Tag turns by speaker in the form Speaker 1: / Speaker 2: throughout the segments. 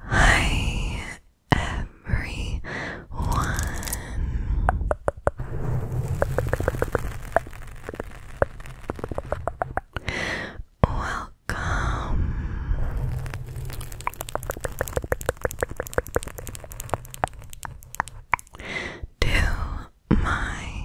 Speaker 1: Hi everyone. Welcome. To my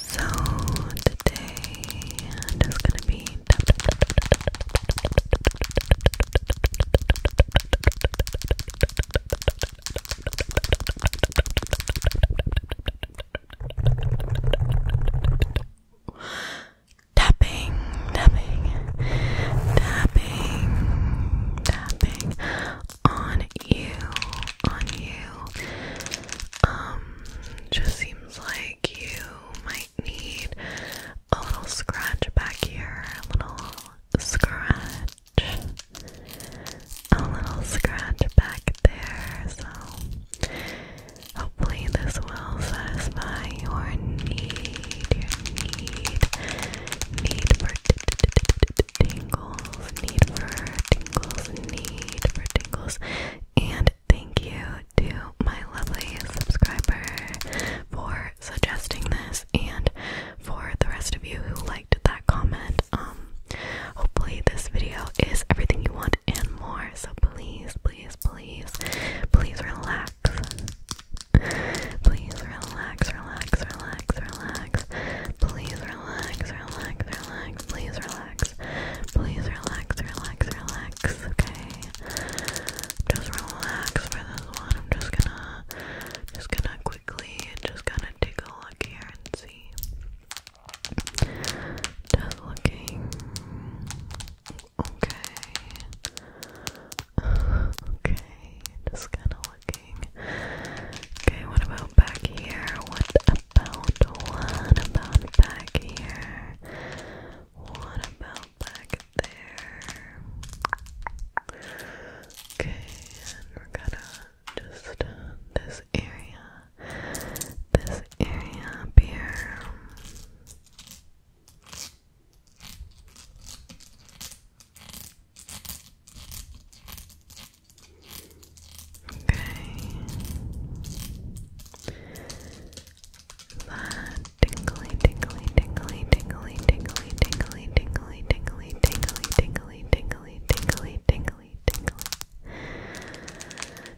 Speaker 1: So today i gonna be tapping, tapping, tapping, tapping on you, on you. Um, just seems like you might need a little scratch back here, a little scratch, a little scratch back there. So Hopefully, this will satisfy your need, need, need for tingles, need for tingles, need for tingles. And thank you to my lovely subscriber for suggesting this and for the rest of you who liked that comment. Um, hopefully, this video is everything you want and more. So please, please, please, please relax. Please relax, relax, relax, relax. Please relax, relax, relax. Please relax. Please relax, relax, relax. Okay. Just relax for this one. I'm just gonna just gonna quickly just gonna take a look here and see. Just looking okay. Okay, just kind of looking. Okay, what about back here? What about what about back here? What about back there? Okay, and we're gonna just uh, this area this area up here. Okay. That tingly, tingly, tingly, tingly, tingly, tingly, tingly, tingly, tingly, tingly, tingly, tingly, tingly, tingly, tingly,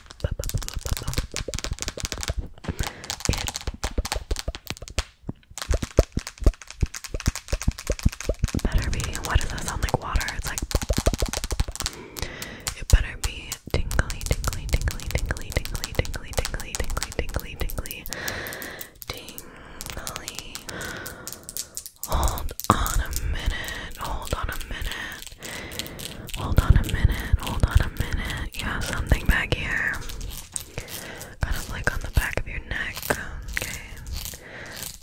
Speaker 1: better be what does that sound like water like it better be tingly tingly tingly tingly tingly tingly tingly tingly tingly tingly tingly hold on a minute hold on a minute Hold on a minute, hold on a minute. You have something back here. Kind of like on the back of your neck. Okay.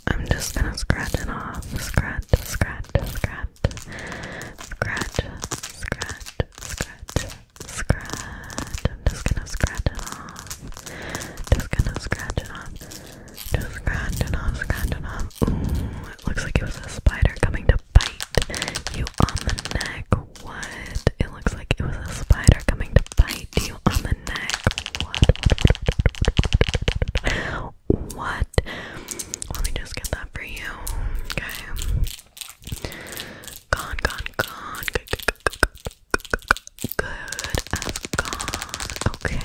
Speaker 1: I'm just gonna scratch it off. Scratch, scratch, scratch. Scratch, scratch, scratch, scratch. I'm just gonna scratch it off. Just gonna scratch it off. Just scratch it off, scratch it off. Ooh, it looks like it was a spider coming bite you on the neck. What? It looks like it was a spider coming to bite you on the neck. What? What? Let me just get that for you. Okay. Gone, gone, gone. Good, Okay.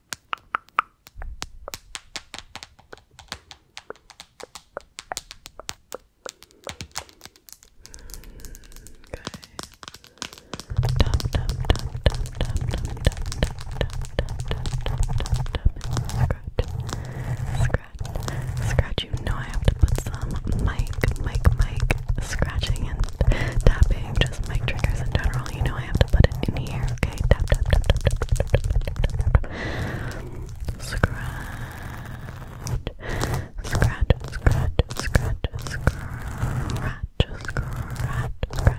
Speaker 1: Scratch, scratch. You know I have to put some mic, mic, mic scratching in and tapping, just mic triggers in general, you know I have to put it in here, okay? Tap, tap, tap, tap, tap, tap, tap, tap, tap, tap. Scratch, scratch, scratch, scratch, scratch. Just scratch, scratch it. Scratch,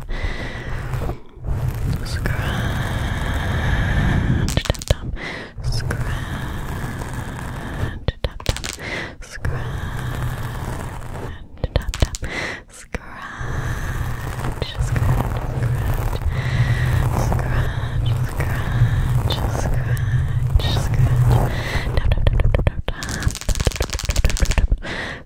Speaker 1: Scratch, tap tap. Scratch, tap tap. Scratch, tap tap. Scratch, scratch, scratch. Scratch, scratch, scratch, scratch. Tap tap tap tap tap tap. Tap tap tap tap tap.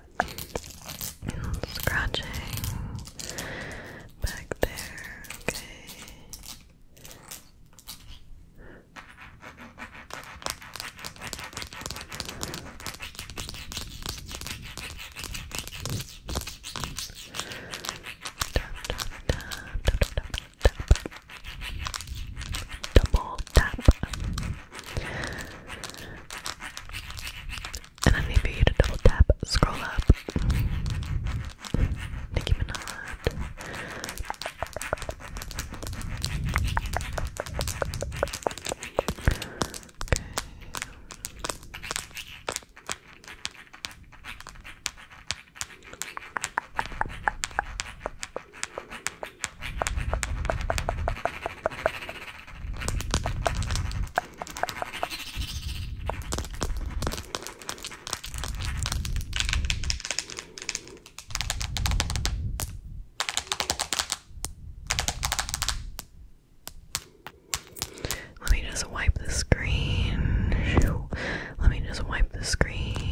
Speaker 1: Scratching back there, okay. Double tap. And I need for you to double tap, scroll up. Nicki Minaj. Okay. Let me just wipe the screen. Let me just wipe the screen.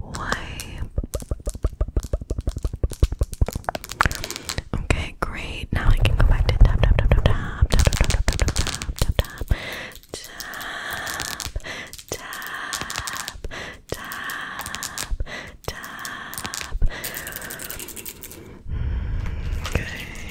Speaker 1: wipe. Okay, great. Now I can go back to tap tap tap tap tap tap tap tap tap tap tap tap tap tap tap tap okay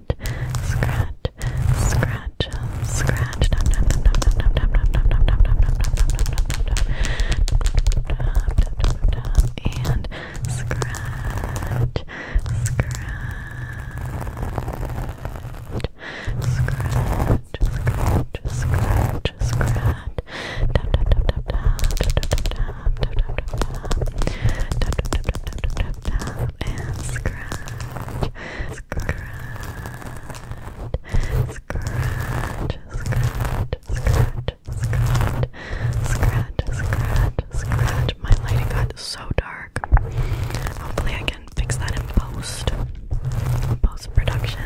Speaker 1: scratch, scratch, scratch, scratch. And scratch, scratch. Scratch, scratch, scratch, scratch. Tap, tap, tap, tap, tap, tap, tap, tap, tap, tap, tap, tap, tap, tap, tap, tap, scratch, scratch, scratch, scratch, scratch, scratch, scratch, scratch, scratch. My lighting got so dark. Hopefully, I can fix that in post, post production.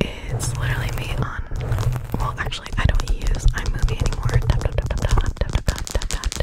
Speaker 1: It's literally me on. Well, actually, I don't use iMovie anymore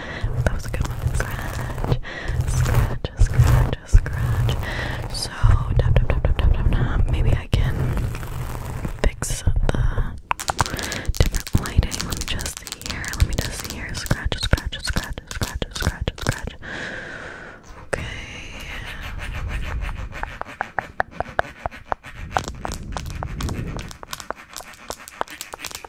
Speaker 1: That was a good one. Scratch, scratch, scratch, scratch. So, tap, tap, tap, tap, tap, tap, tap. Maybe I can fix the different lighting. Let me just see here. Let me just see here. Scratch, scratch, scratch, scratch, scratch, scratch. Okay. Okay,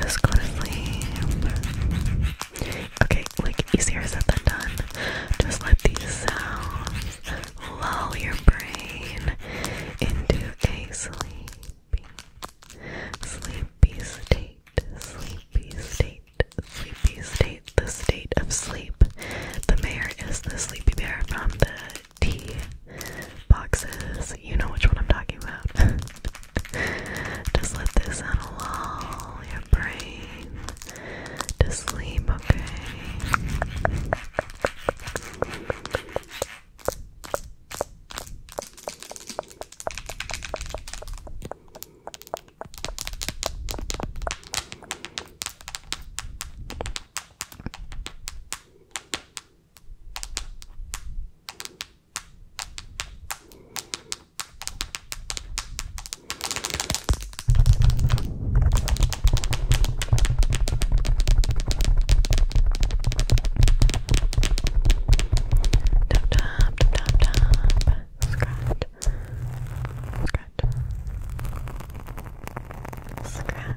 Speaker 1: Just go to sleep. Okay, like easier said than done. Just let these sounds lull your brain into a sleepy, sleepy state, sleepy state, sleepy state, the state of sleep. The mayor is the sleepy bear from the T boxes. You know which one I'm talking about. Just let this settle all your brain to sleep, Okay. Tap tap tap tap tap. Scratch. Scratch. Scratch.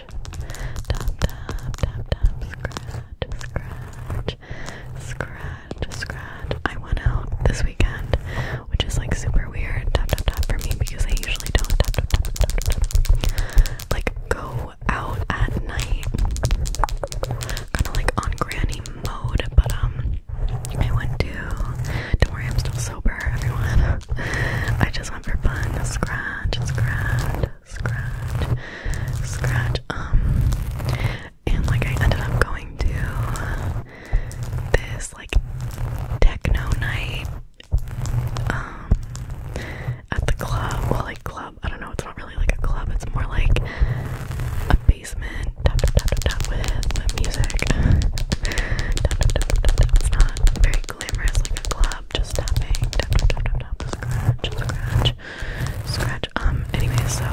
Speaker 1: tap tap tap tap scratch scratch scratch scratch I went out this weekend which is like super weird tap tap tap for me because I usually don't tap tap tap tap tap, like go out at night kind of like on granny mode but um I went to don't worry I'm still sober everyone I just just one for fun. Scratch, scratch, scratch, scratch. Um, and like I ended up going to this like techno night um at the club. Well, like club. I don't know. It's not really like a club. It's more like a basement. Tap tap tap tap, tap with music. tap, tap, tap, tap, tap. It's not very glamorous like a club just tapping, tap, tap, tap, tap, tap, scratch, scratch, scratch. Um, anyway, so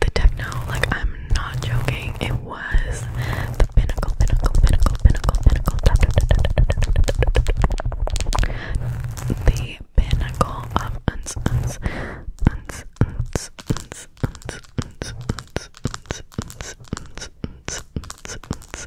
Speaker 1: the techno, like, I'm not joking, it was the pinnacle, pinnacle, pinnacle, pinnacle, pinnacle, the pinnacle of uns, uns, uns, uns, uns, uns, uns, uns, uns, uns, uns, uns, uns, uns,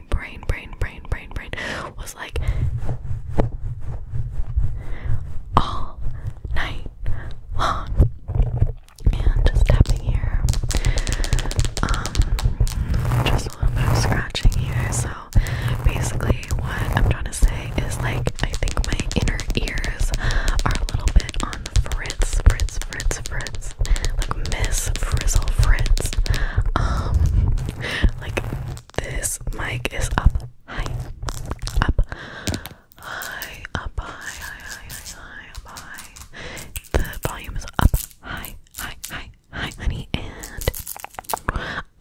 Speaker 1: my brain, brain, brain, brain, brain was like all night long. And just tapping here. Um just a little bit of scratching here. So basically what I'm trying to say is like I think my inner ears are a little bit on the frizz, fritz, fritz, Like Miss Frizzle Fritz. Um like this mic is up high, up high, up high, high, high, high, high, up high. The volume is up high, high, high, high, honey, and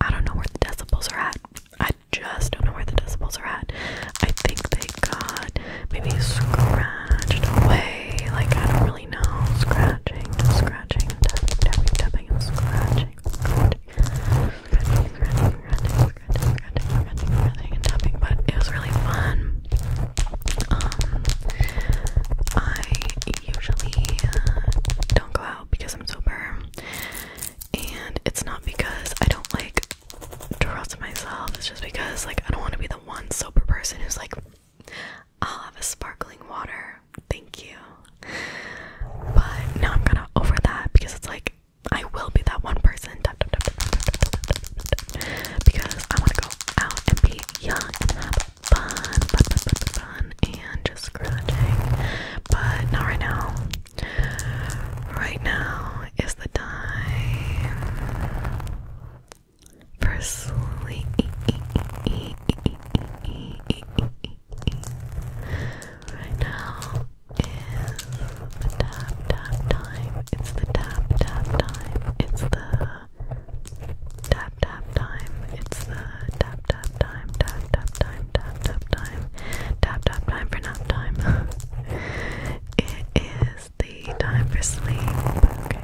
Speaker 1: I don't know where the decibels are at. I just don't know where the decibels are at. I think they got maybe scratched away. Like I don't really know. Scratching, just scratching scratching, tapping, tapping, and scratching, scratching, scratching, scratching, scratching, scratching, scratching, and tapping. But it was really fun. Um, I usually uh, don't go out because I'm sober, and it's not because I don't like trust myself. It's just because like I don't want to be the one sober person who's like. I'll have a sparkling water. Thank you. But now I'm kind of over that because it's like I will be that one person because I want to go out and be young fun, fun, and just scratching. But not right now. Right now is the time for sleep. Right now is the tap tap time. It's the tap tap time. It's the tap tap time. It's the tap tap time. Tap tap time. Tap tap time. Tap tap time for nap time. it is the time for sleep. Okay.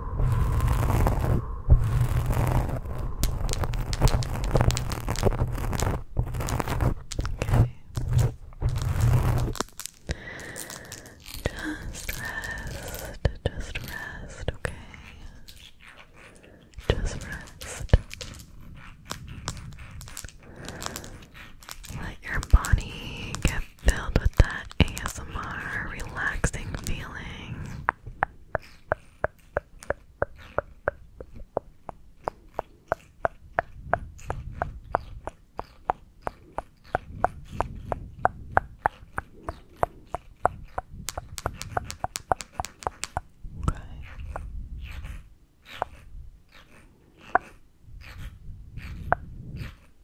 Speaker 1: Just rest, just rest, okay? Just rest. Let your body get filled with that ASMR relaxing feeling. Okay.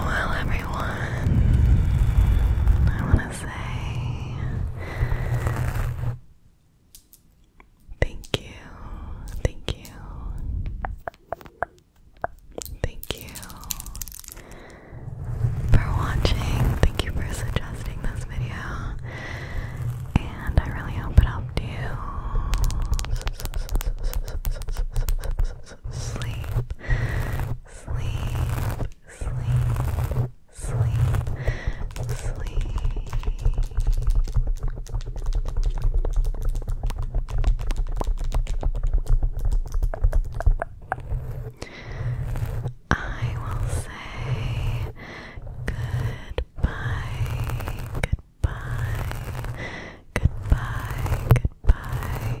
Speaker 1: Well, everyone, say thank you, thank you, thank you for watching. Thank you for suggesting this video, and I really hope it helped you sleep, sleep sleep, sleep, sleep. I will say goodbye, goodbye, goodbye, goodbye,